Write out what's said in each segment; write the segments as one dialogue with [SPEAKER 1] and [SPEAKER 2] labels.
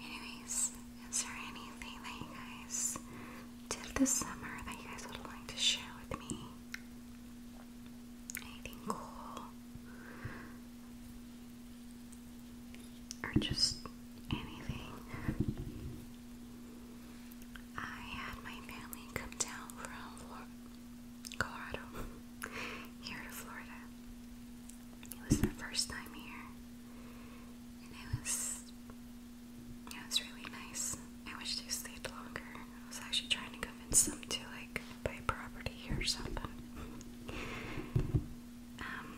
[SPEAKER 1] Anyways, is there anything that you guys did this summer that you guys would like to share with me? Anything cool? Or just anything? I had my family come down from Colorado here to Florida. It was the first time here, and it was yeah, it was really nice. I wish they stayed longer. I was actually trying to convince them to like buy property here or something. um,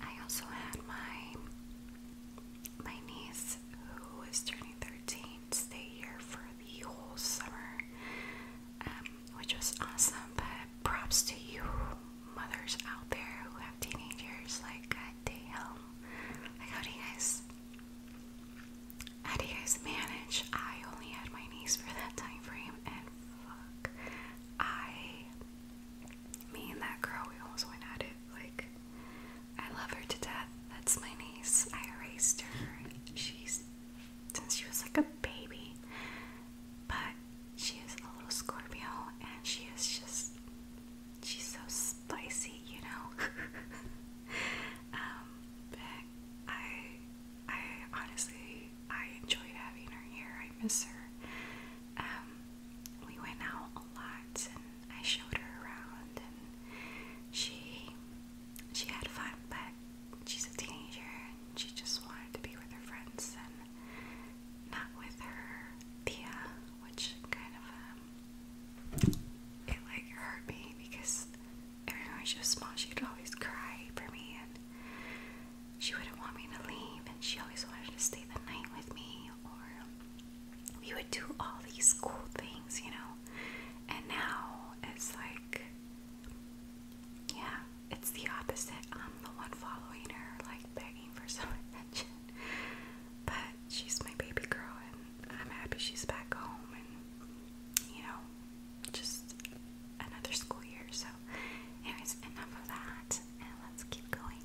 [SPEAKER 1] I also had my my niece who was turning thirteen stay here for the whole summer. Um, which was awesome. But props to you mothers out there who have teenagers. Like, god damn. Like, how do you guys, how do you guys manage? I only had my niece for that time frame, and fuck, I, me and that girl, we almost went at it. Like, I love her to death. That's my niece. I raised her. She's since she was like a baby. But she is a little Scorpio and she is just, she's so spicy, you know? Um, but I, I honestly, I enjoyed having her here. I miss her. Um, we went out a lot and I showed her around and she, she had fun, but she's a teenager and she just wanted to be with her friends and not with her Thea, which kind of, um, it like hurt me because every time she small, she'd always cry for me and she wouldn't want me to leave and she always wanted to stay the night with me or we would do all these cool things, you know? And now it's like yeah, it's the opposite. I'm the one following her, like begging for some attention. But she's my baby girl, and I'm happy she's back home. And you know, just another school year. So, anyways, enough of that, and let's keep going.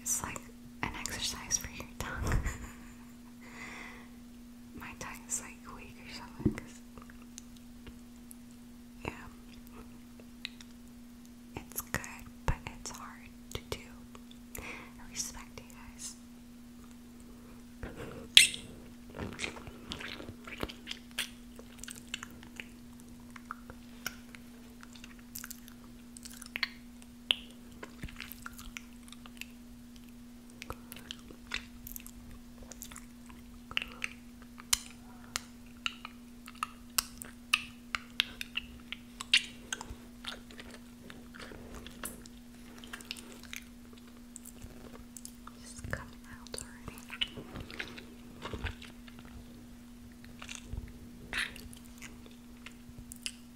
[SPEAKER 1] It's like an exercise for your tongue. My tongue is like weak or something. yeah. It's good, but it's hard to do. I respect you guys. It's coming out already.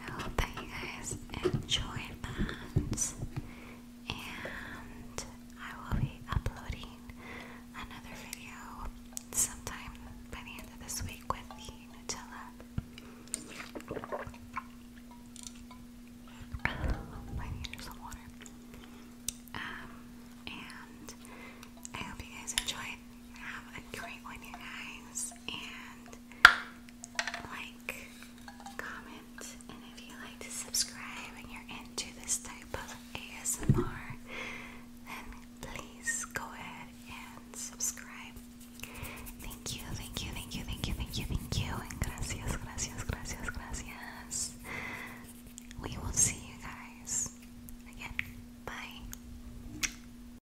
[SPEAKER 1] I hope that you guys enjoyed that. And I will be uploading another video sometime by the end of this week with the Nutella. Oh, I need some water. Um, and I hope you guys enjoyed. Have a great one, you guys and like, comment, and if you like to subscribe and you're into this type of ASMR, then please go ahead and subscribe. Thank you, thank you, thank you, thank you, thank you, thank you, and gracias, gracias, gracias, gracias. We will see you guys again. Bye.